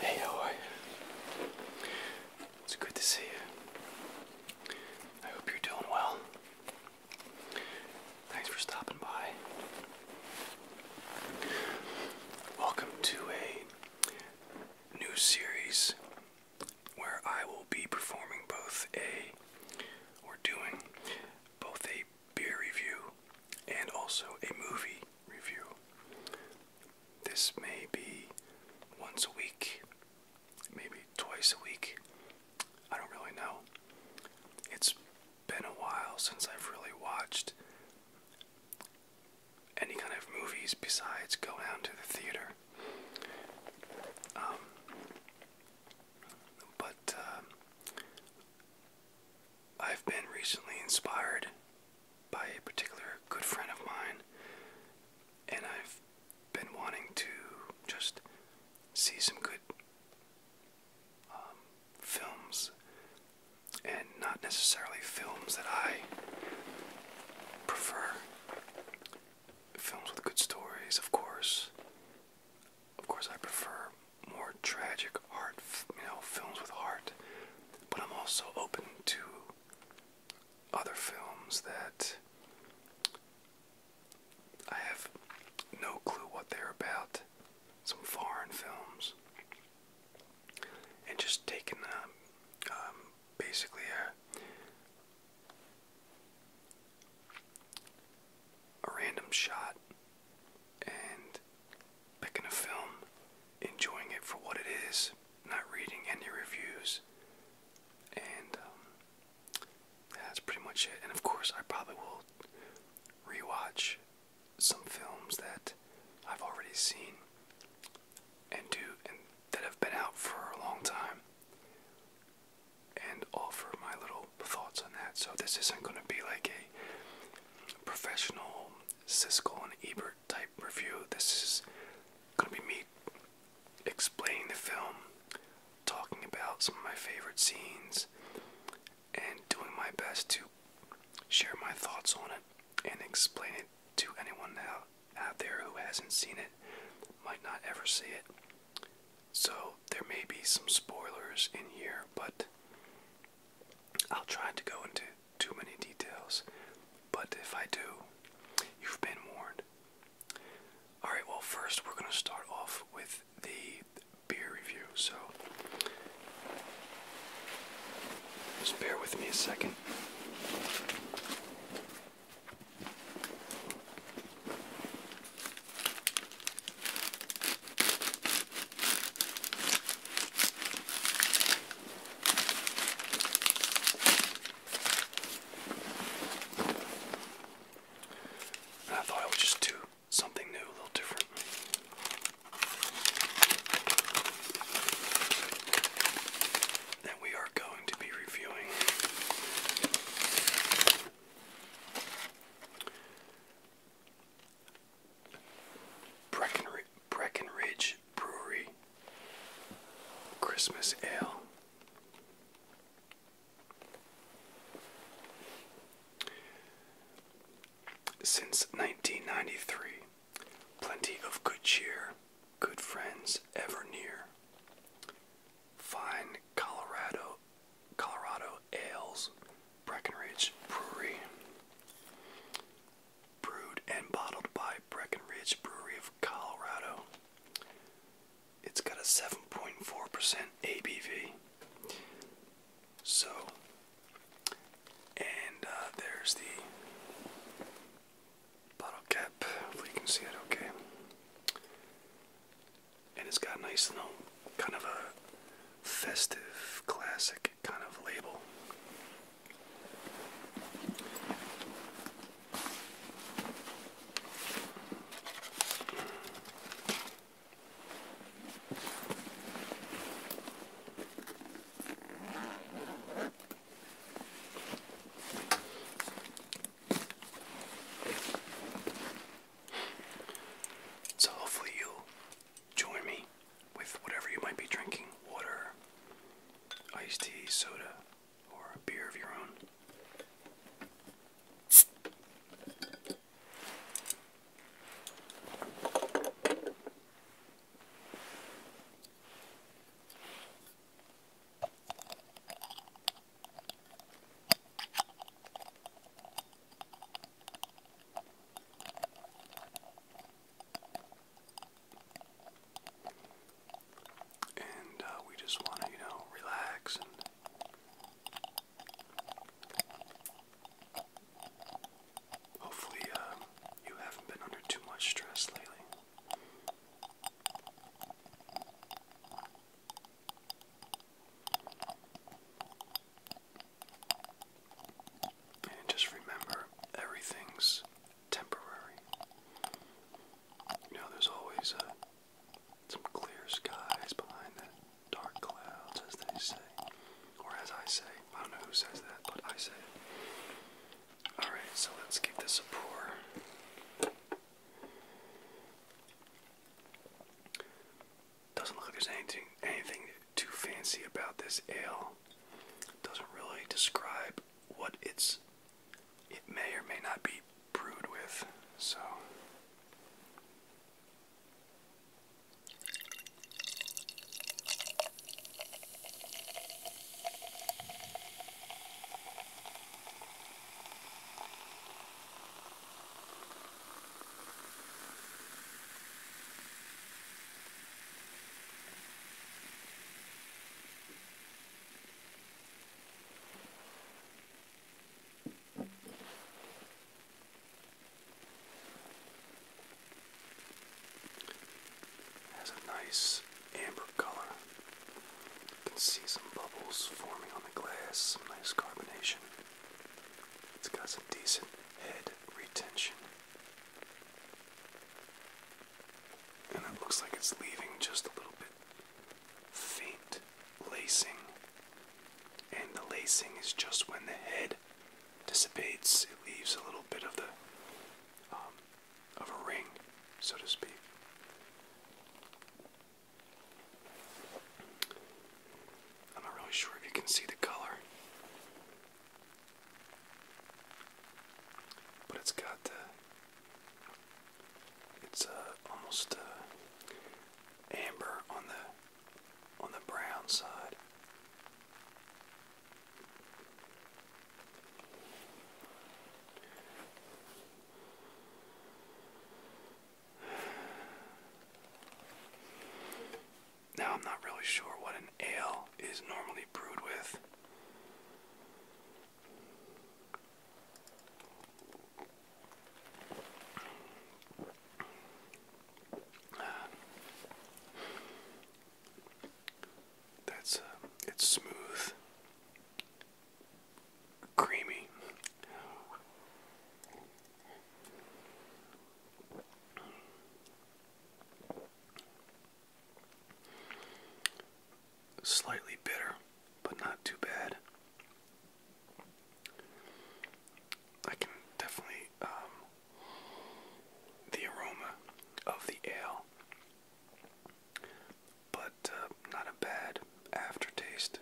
Hey, how It's good to see you. I hope you're doing well. Thanks for stopping by. Welcome to a new series where I will be performing both a we're doing both a beer review and also a movie review. This may be once a week, maybe twice a week. I don't really know. It's been a while since I've really watched any kind of movies besides go down to the theater. Um, but um, I've been recently inspired by a particular good friend of mine, and I've been wanting to just see some good um, films, and not necessarily films that I prefer. Films with good stories, of course, of course, I prefer more tragic art, you know, films with heart. But I'm also open to other films that I have no clue what they're about. Some foreign films, and just taking um, um basically a a random shot and picking a film, enjoying it for what it is, not reading any reviews, and um, that's pretty much it. And of course, I probably will rewatch some films that I've already seen and do and that have been out for a long time and offer my little thoughts on that. So this isn't going to be like a professional Cisco and Ebert type review. This is going to be me explaining the film, talking about some of my favorite scenes, and doing my best to share my thoughts on it and explain it to anyone out, out there who hasn't seen it, might not ever see it. So there may be some spoilers in here, but I'll try to go into too many details. But if I do, you've been warned. Alright, well, first we're going to start off with the beer review. So just bear with me a second. I thought I would just do something new, a little different. And we are going to be reviewing Breckenridge, Brewery Christmas Ale. Since 1993, plenty of good cheer, good friends ever near. Fine Colorado Colorado Ales Breckenridge Brewery. Brewed and bottled by Breckenridge Brewery of Colorado. It's got a 7.4% ABV. So, and uh, there's the bottle cap, if you can see it okay and it's got a nice little kind of a festive classic kind of label. So hopefully you'll join me with whatever you might be drinking, water, iced tea, soda, or a beer of your own. And uh, we just want to, you know, relax and hopefully uh, you haven't been under too much stress lately. And just remember everything's temporary. You know, there's always uh, some clear skies behind that dark cloud, as they say. Or as I say. I don't know who says that, but I say it. Alright, so let's give this a pour. Doesn't look like there's anything anything too fancy about this ale. Doesn't really describe what it's it may or may not be brewed with, so has a nice amber color can see some bubbles forming on the glass, some nice carbonation. It's got some decent head retention. And it looks like it's leaving just a little bit faint lacing. And the lacing is just when the head dissipates, it leaves a little bit of the um, of a ring, so to speak. I'm not really sure if you can see the color, but it's got uh, it's almost uh, amber on the on the brown side. Now, I'm not really sure what an ale is normally brewed with. That's uh, it's smooth creamy. Slightly bitter, but not too bad. I can definitely um, the aroma of the ale, but uh, not a bad aftertaste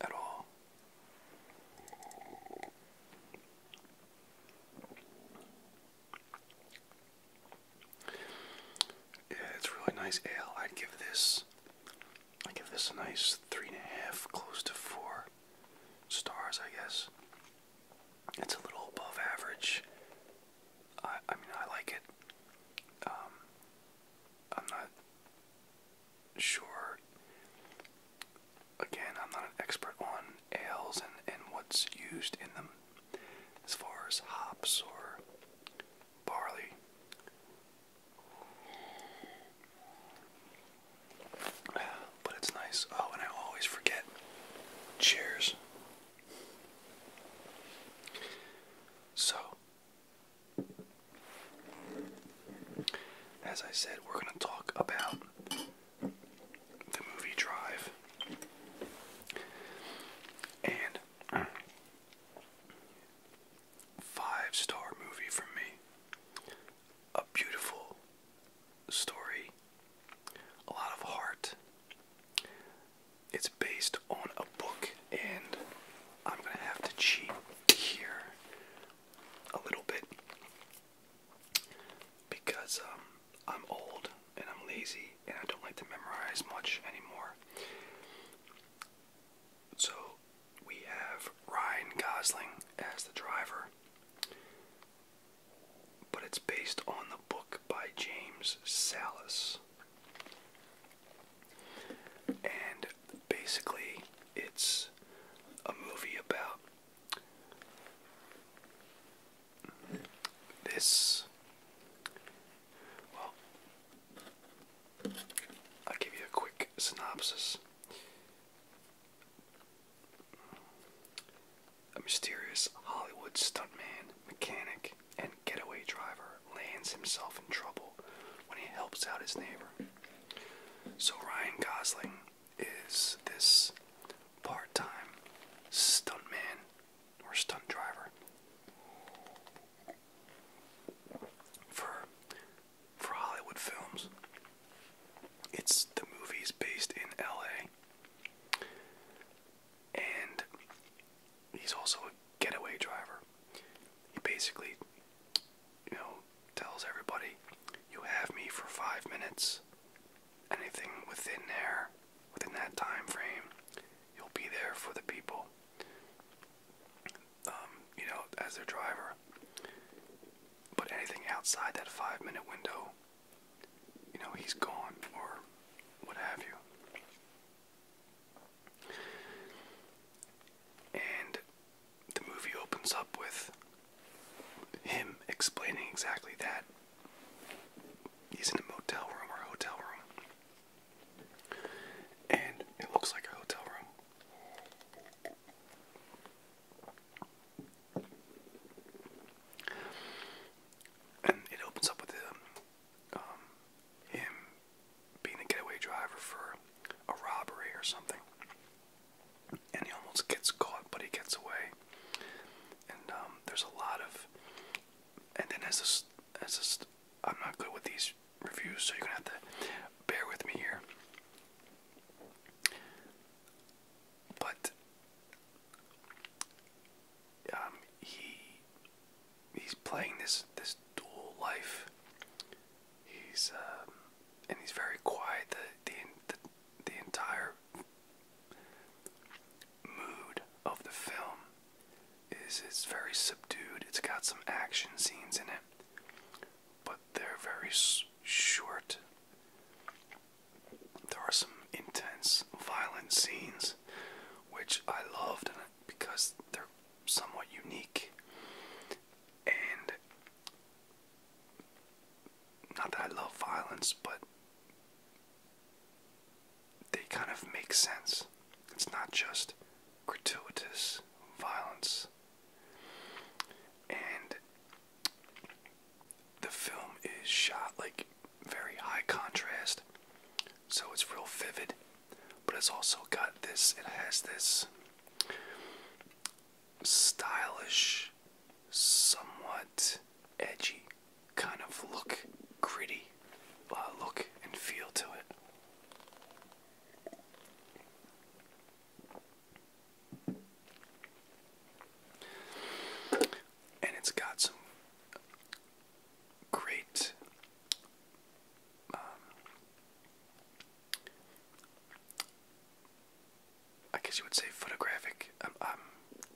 at all. Yeah, it's really nice ale. I'd give this I give this a nice three and a half, close to four stars, I guess. It's a little above average. I I mean I like it. Um, I'm not sure. Again, I'm not an expert on ales and, and what's used in them as far as hops or barley. But it's nice. Oh, and I always forget. Cheers. So, as I said, we're going to talk about the movie Drive. And five star movie from me. A beautiful story, a lot of heart. It's based on a book and I'm going to have to cheat here a little bit because um, I'm old and I'm lazy and I don't like to memorize much anymore. So we have Ryan Gosling as the driver, but it's based on the book by James Salas. And basically, it's a movie about this. Well, I'll give you a quick synopsis. A mysterious Hollywood stuntman, mechanic, and getaway driver lands himself in trouble when he helps out his neighbor. So Ryan Gosling is this part time stuntman or stunt driver for for Hollywood films. It's the movie's based in LA and he's also a getaway driver. He basically, you know, tells everybody, "You have me for five minutes. Anything within there, within that time frame, you'll be there for the people." Um, you know, as their driver. But anything outside that five-minute window, you know, he's gone or what have you. And the movie opens up with him explaining exactly that. He's in a motel room or hotel room. And it looks like a hotel room. And it opens up with um, um, him, him being a getaway driver for a robbery or something. And he almost gets caught, but he gets away. And um, there's a lot of, and then as this, as this, I'm not good with these reviews, so you're gonna have to bear with me here. But um, he he's playing this this dual life. He's um, and he's very quiet. The, the the entire mood of the film is it's very subdued. It's got some action scenes in it, but they're very short. There are some intense, violent scenes, which I loved because they're somewhat unique. And not that I love violence, but they kind of make sense. It's not just gratuitous violence. And the film is shot like very high contrast so it's real vivid but it's also got this it has this stylish somewhat edgy kind of look gritty uh, look and feel to it and it's got some great um, I guess you would say photographic. I'm,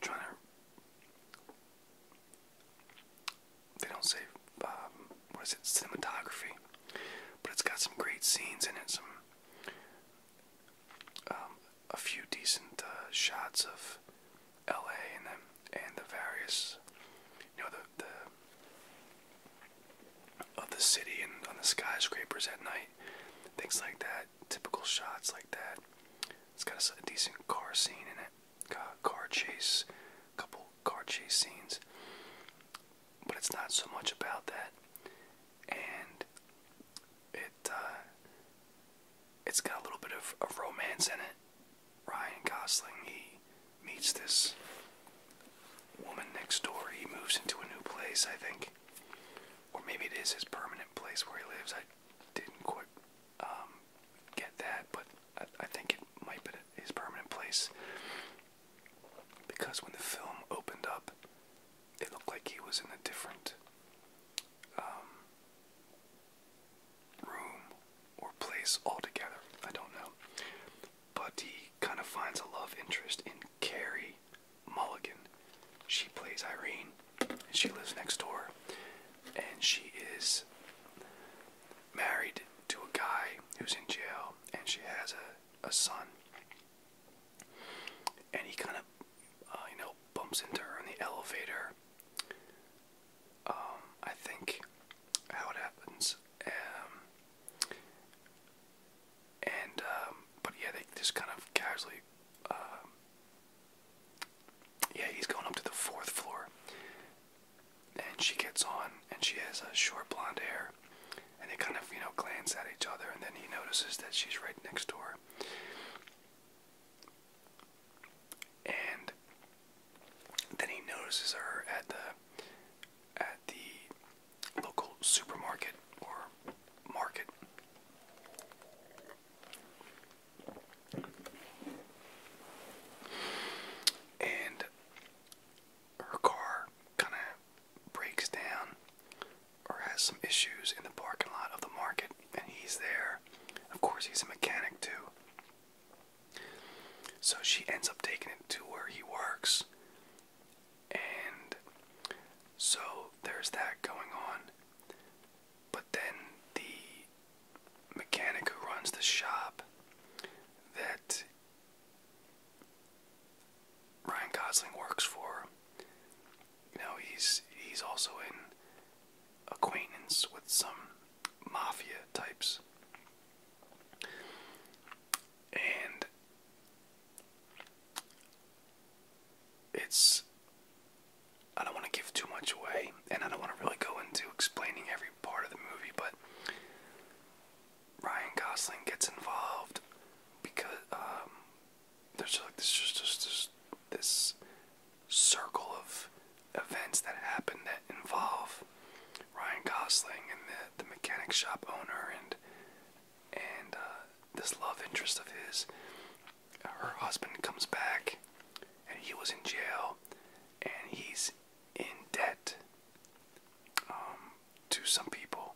trying to. They don't say, um, what is it, cinematography. But it's got some great scenes in it, some. Um, a few decent uh, shots of LA and then and the various, you know, the the of the city and on the skyscrapers at night, things like that. Typical shots like that. It's got a, decent car scene in it, got a car chase, a couple car chase scenes, but it's not so much about that, and it uh, it's got a little bit of, of romance in it. Ryan Gosling, he meets this woman next door. He moves into a new place, I think. Or maybe it is his permanent place where he lives. I didn't quite um, get that, but I, think it might be his permanent place. Because when the film opened up, it looked like he was in a different um, room or place altogether. I don't know. But he kind of finds a love interest in Carrie Mulligan. She plays Irene, and she lives next door. And she is married to a guy who's in jail, and she has a, a son. And he kind of, uh, you know, bumps into her in the elevator um, I think how it happens. Um, and um, but yeah, they just kind of casually. Uh, yeah, he's going up to the fourth floor, and she gets on, and she has a short blonde hair, and they kind of you know glance at each other, and then he notices that she's right next door, And then he notices her at the at the local supermarket or market. And her car kind of breaks down or has some issues in the parking lot of the market, and he's there. Of course, he's a mechanic too. So she ends up taking it to where he works. And so there's that going on. But then the mechanic who runs the shop that Ryan Gosling works for, you know, he's he's also in acquaintance with some mafia types. And it's I don't want to give too much away, and I don't want to really go into explaining every part of the movie, but Ryan Gosling gets involved because um, there's like this just this this circle of events that happen that involve Ryan Gosling and the, the mechanic shop owner and and uh, this love interest of his. Her husband comes back, and he was in jail, and he's in debt um, to some people.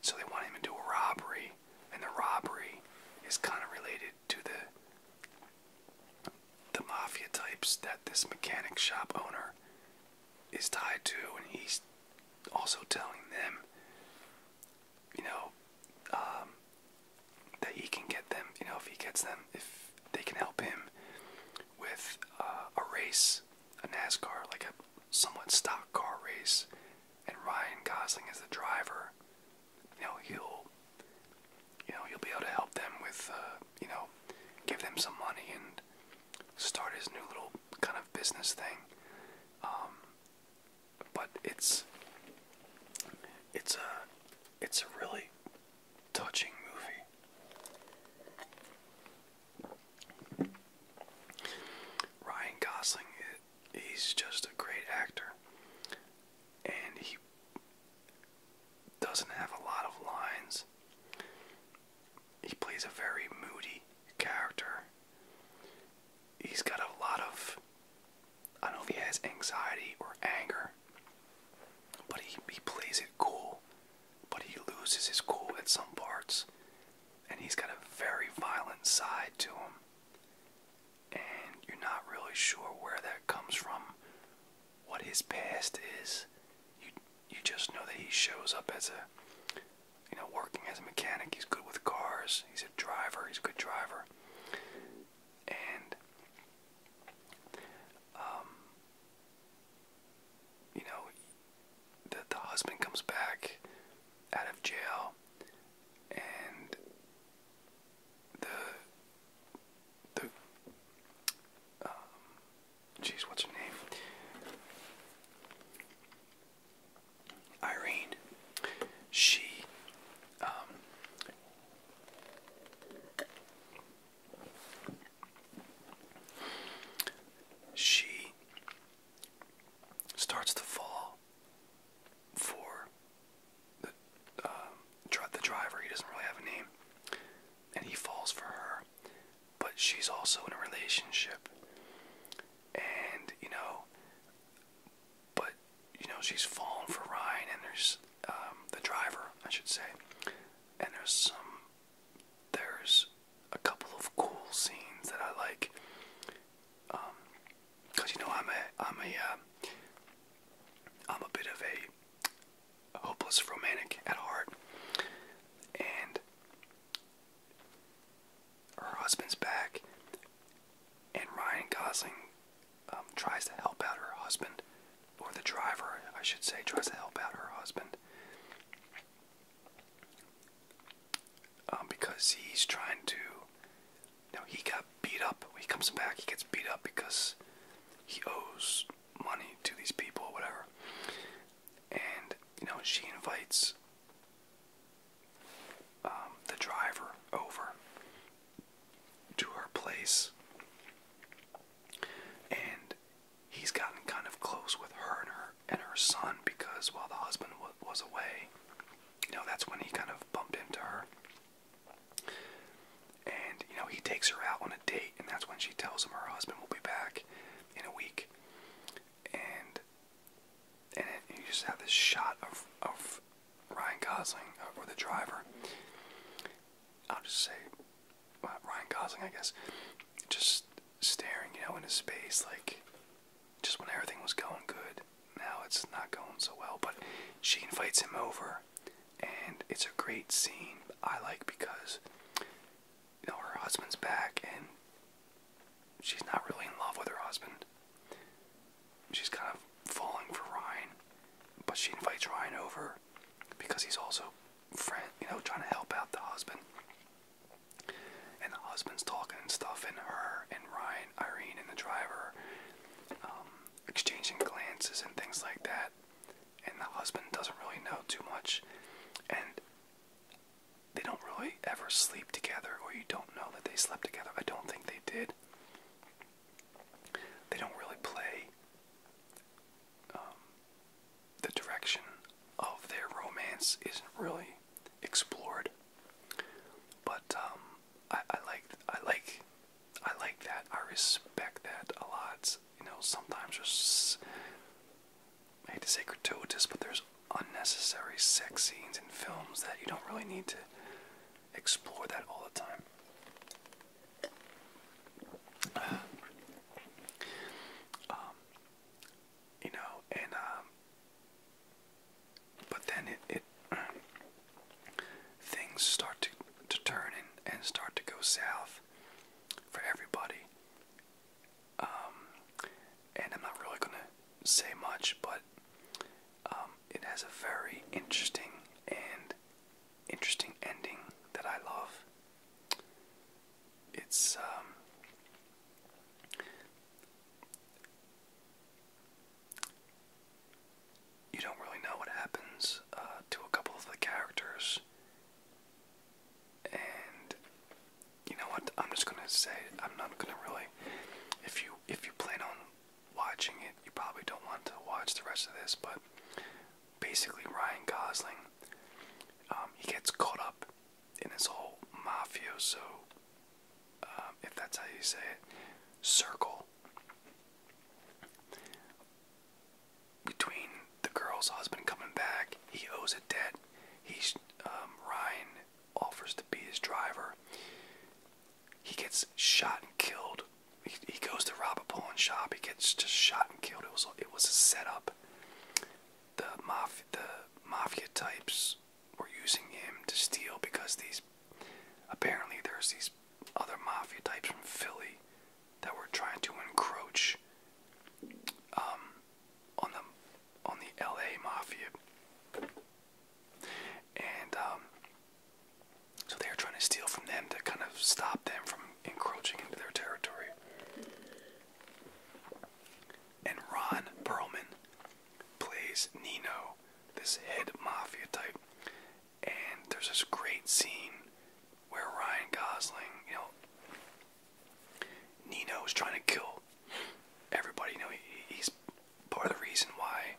So they want him to do a robbery, and the robbery is kind of related to the the mafia types that this mechanic shop owner is tied to, and he's also telling them, you know, um, that he can get them, you know, if he gets them, if they can help him with uh, a race, a NASCAR, like a somewhat stock car race, and Ryan Gosling is the driver, you know, he'll you know, you'll be able to help them with, uh, you know, give them some money and start his new little kind of business thing. Um, but it's it's a it's a really touching movie. Ryan Gosling, he's just a great actor, and he doesn't have a lot of lines. He plays a very moody character. He's got a lot of. I don't know if he has anxiety or anger, but he, he plays it cool. But he loses his cool at some parts. And he's got a very violent side to him. And you're not really sure where that comes from what his past is. You you just know that he shows up as a you know working as a mechanic. He's good with cars. He's a driver. He's a good driver. And um, you know the the husband comes back out of jail and the the um, geez, what's her name? Irene. She um she starts to fall for the, um, the driver. He doesn't really have a name and he falls for her, but she's also in a relationship. And, you know, but, you know, she's fallen for Ryan, and there's um, the driver, I should say, and there's some, there's a couple of cool scenes that I like. Um, Cause you know I'm a I'm a uh, I'm a bit of a hopeless romantic at heart, and her husband's back, and Ryan Gosling um, tries to help out her husband, or the driver, I should say, tries to help out her husband. Um, because he's trying to, you know, he got beat up. He comes back, he gets beat up because he owes money to these people or whatever. And, you know, she invites um, the driver over to her place. And he's gotten kind of close with her and her and her son because while the husband was away, you know, that's when he kind of bumped into her. And, you know, he takes her out on a date, and that's when she tells him her husband will be back in a week. And and it, you just have this shot of, of Ryan Gosling, uh, or the driver. I'll just say well, uh, Ryan Gosling, I guess. Just staring, you know, into space, like just when everything was going good. Now it's not going so well, but she invites him over and it's a great scene I like because you know her husband's back and she's not really in love with her husband. She's kind of falling for Ryan, but she invites Ryan over because he's also friend, you know, trying to help out the husband. And the husband's talking and stuff, and her and Ryan, Irene, and the driver, um, exchanging glances and things like that and the husband doesn't really know too much, and they don't really ever sleep together, or you don't know that they slept together. I don't think they did. They don't really play um, the direction of their romance isn't really explored. But um, I like I like I like that. I respect that a lot. You know, sometimes there's, I hate to say gratuitous, but there's unnecessary sex scenes in films that you don't really need to explore that all the time. Um, you know, and um, but then it, things start to, to turn and start to go south for everybody. Um, and I'm not really gonna say much, but um, it has a very interesting and interesting ending that I love. It's um, you don't really know what happens uh, to a couple of the characters. And you know what? I'm just gonna say I'm not gonna really. If you if you plan on watching it, you probably don't want to watch the rest of this. But basically, Ryan Gosling, um, he gets caught up in this whole mafia so, um, if that's how you say it, circle between the girl's husband coming back, he owes a debt. He's um, Ryan offers to be his driver. He gets shot and killed. He, he goes to rob a pawn shop. He gets just shot and killed. It was it was a setup. The mafia the mafia types were using him to steal because these apparently there's these other mafia types from Philly that were trying to encroach um, on the on the LA mafia, and um, so they are trying to steal from them to kind of stop them from encroaching into their territory. And Ron Perlman plays Nino, this head mafia type, and there's this great scene where Ryan Gosling, you know, Nino is trying to kill everybody. You know, he's part of the reason why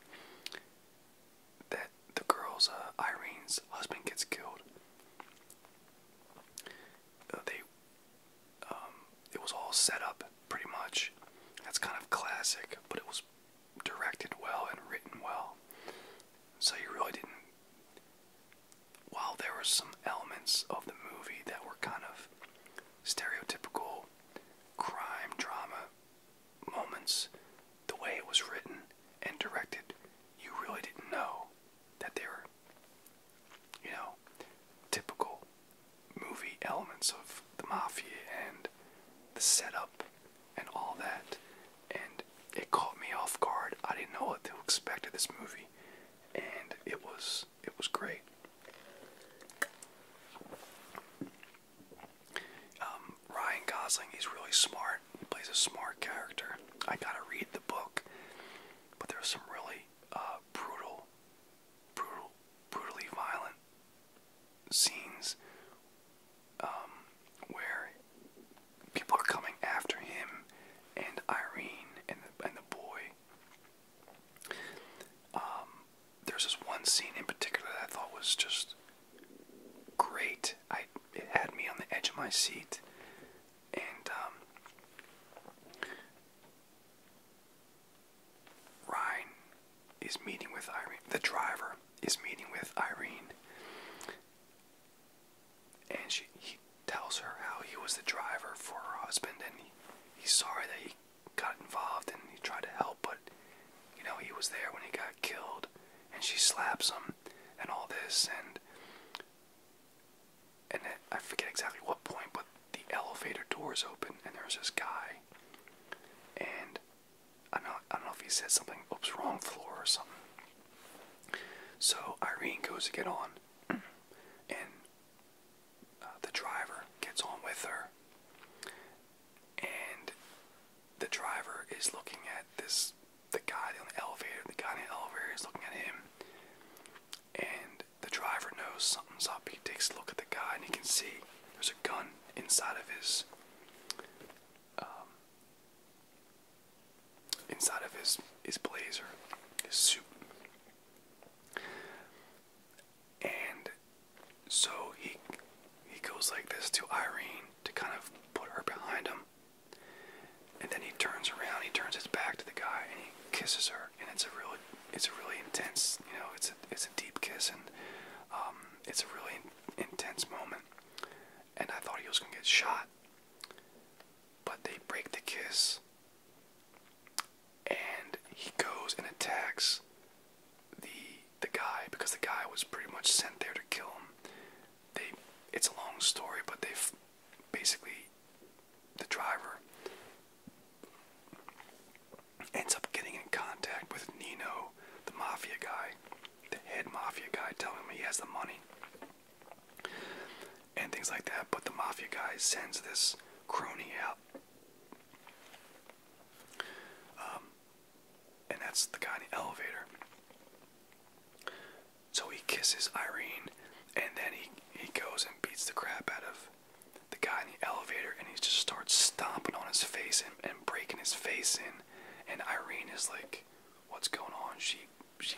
that the girl's, uh, Irene's husband gets killed. Uh, they, um, it was all set up pretty much. That's kind of classic, but it was directed well and written well. So you really didn't while there were some elements of the movie that were kind of stereotypical crime drama moments, the way it was written and directed, you really didn't know that they were, you know, typical movie elements of the mafia and the setup and all that. And it caught me off guard. I didn't know what to expect of this movie. And it was it was great. Um, Ryan Gosling, he's really smart. plays a smart character. I gotta read the book. But there's some really uh, brutal, brutal, brutally violent scenes um, where people are coming after him and Irene and and the boy. Um, there's this one scene in particular that I thought was just great. I it had me on the edge of my seat, and um, Ryan is meeting with Irene. The driver is meeting with Irene, and she he tells her how he was the driver for her husband and he, he's sorry that he got involved and he tried to help but you know he was there when he got killed and she slaps him and all this and and I forget exactly what point but the elevator doors open and there's this guy and I don't, I don't know if he said something, oops, wrong floor or something. So Irene goes to get on, and uh, the driver gets on with her, and the driver is looking at this the guy in the elevator. The guy in the elevator is looking at him, and the driver knows something's up. He takes a look at the guy, and he can see there's a gun inside of his um, inside of his his blazer, his suit. And so he he goes like this to Irene to kind of put her behind him. And then he turns around, he turns his back to the guy and he kisses her and it's a really it's a really intense, you know, it's a it's a deep kiss and um, it's a really intense moment and I thought he was gonna get shot. But they break the kiss, and he goes and attacks the the guy because the guy was pretty much sent there to kill him. They it's a long story, but they've basically the driver ends up getting in contact with Nino, the mafia guy, the head mafia guy telling me he has the money and things like that. But the mafia guy sends this crony out. Um, and that's the guy in the elevator. So he kisses Irene, and then he, he goes and beats the crap out of the guy in the elevator, and he just starts stomping on his face and breaking his face in. And Irene is like what's going on. She, she,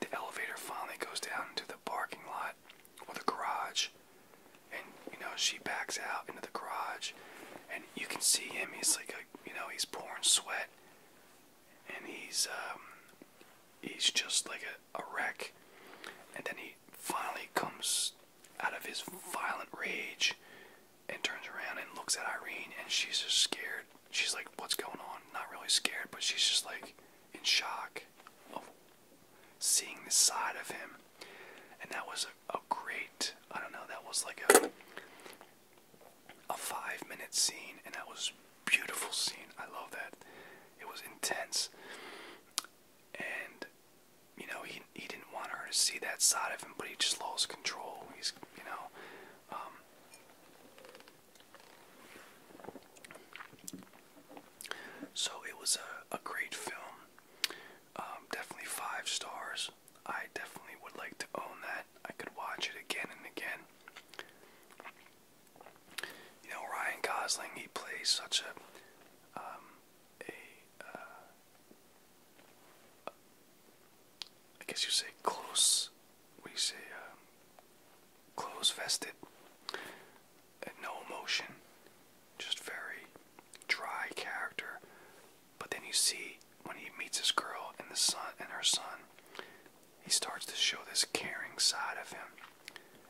the elevator finally goes down into the parking lot or the garage, and you know she backs out into the garage, and you can see him. He's like a, you know, he's pouring sweat, and he's um, he's just like a, a wreck, and then he finally comes out of his violent rage and turns around and looks at Irene, and she's just scared. She's like, "What's going on?" Not really scared, but she's just like in shock of seeing this side of him. And that was a, great. I don't know. That was like a a five-minute scene, and that was beautiful scene. I love that. It was intense, and you know he he didn't want her to see that side of him, but he just lost control. He's you know. Um, so it was a, a great film. Um, definitely five stars. I definitely would like to own that. I could watch it again and again. You know, Ryan Gosling, he plays such a, um, a, uh, I guess you say close. We say uh, close vested, no emotion, just very dry character. But then you see when he meets his girl and the son and her son, he starts to show this caring side of him.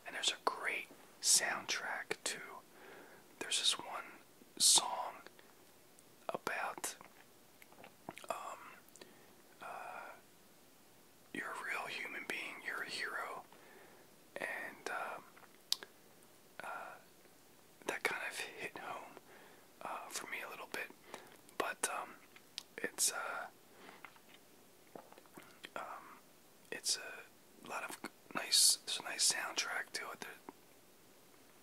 And there's a great soundtrack too. There's this one song about um, uh, you're a real human being, you're a hero, and um, uh, that kind of hit home uh, for me a little bit. But um, it's uh, it's a lot of nice. There's a nice soundtrack to it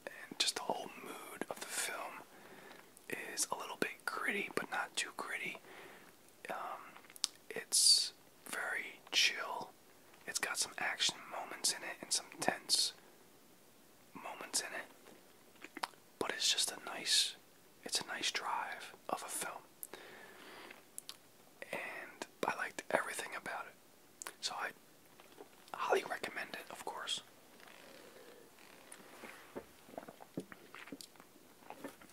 and just the whole mood of the film is a little bit gritty, but not too gritty. Um, it's very chill. It's got some action moments in it and some tense moments in it, but it's just a nice, it's a nice drive of a film. And I liked everything about it. So I Highly recommend it, of course.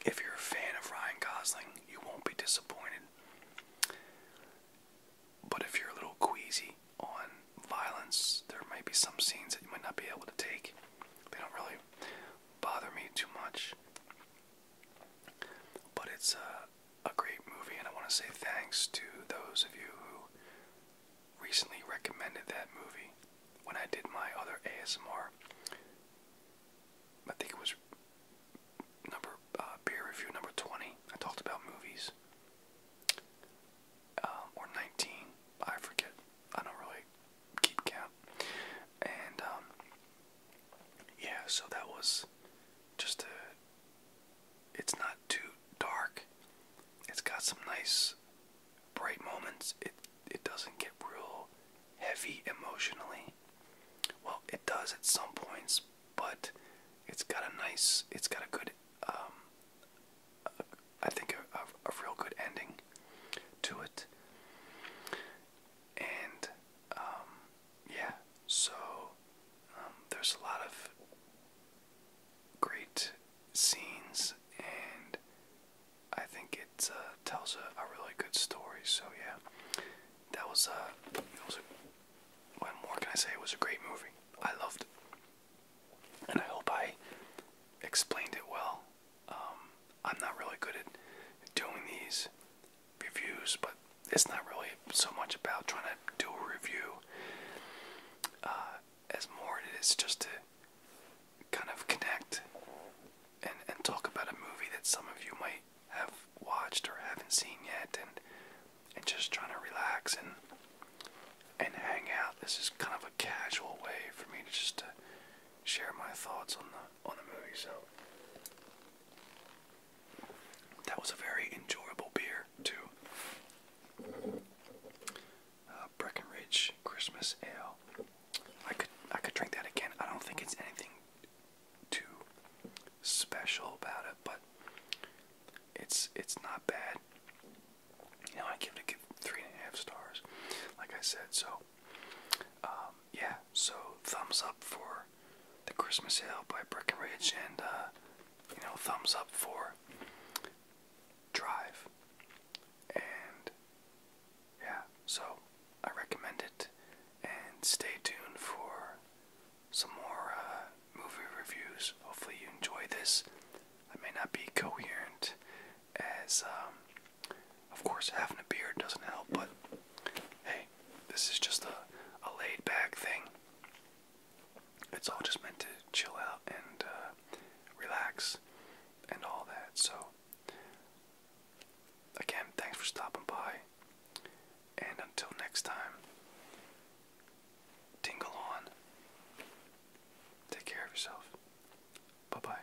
If you're a fan of Ryan Gosling, you won't be disappointed. But if you're a little queasy on violence, there might be some scenes that you might not be able to take. They don't really bother me too much. But it's a, a great movie, and I want to say thanks to those of you who recently recommended that movie when I did my other ASMR. I think it was number beer uh, review number 20. I talked about movies. Um, or 19. I forget. I don't really keep count. And um, yeah, so that was just a it's not too dark. It's got some nice bright moments. It it doesn't get real heavy emotionally. Well, it does at some points, but it's got a nice, it's got a good, um, a, I think a, a real good ending to it. And, um, yeah, so um, there's a lot of great scenes, and I think it uh, tells a, really good story. So yeah, that was uh, it was a, what more can I say? It was a great movie. I loved it, and I hope I explained it well. Um, I'm not really good at doing these reviews, but it's not really so much about trying to do a review. Uh, as more it is just to kind of connect and and talk about a movie that some of you might have watched or haven't seen yet and and just trying to relax and and hang out. This is kind of a casual way for me to just to share my thoughts on the on the movie. So that was a very enjoyable beer too uh, Breckenridge Christmas Ale. I could I could drink that again. I don't think it's anything too special about it, but it's it's not bad. You know, I give it a three and a half stars, like I said. So, um, yeah. So thumbs up for the Christmas Ale by Breckenridge, and uh, you know, thumbs up for drive. And yeah, so I recommend it. And stay tuned for some more uh, movie reviews. Hopefully, you enjoy this. I may not be coherent, as um, of course, having a beard doesn't help, but hey, this is just a laid back thing. It's all just meant to chill out and uh, relax and all that. So, again, thanks for stopping by. And until next time, tingle on. Take care of yourself. Bye bye.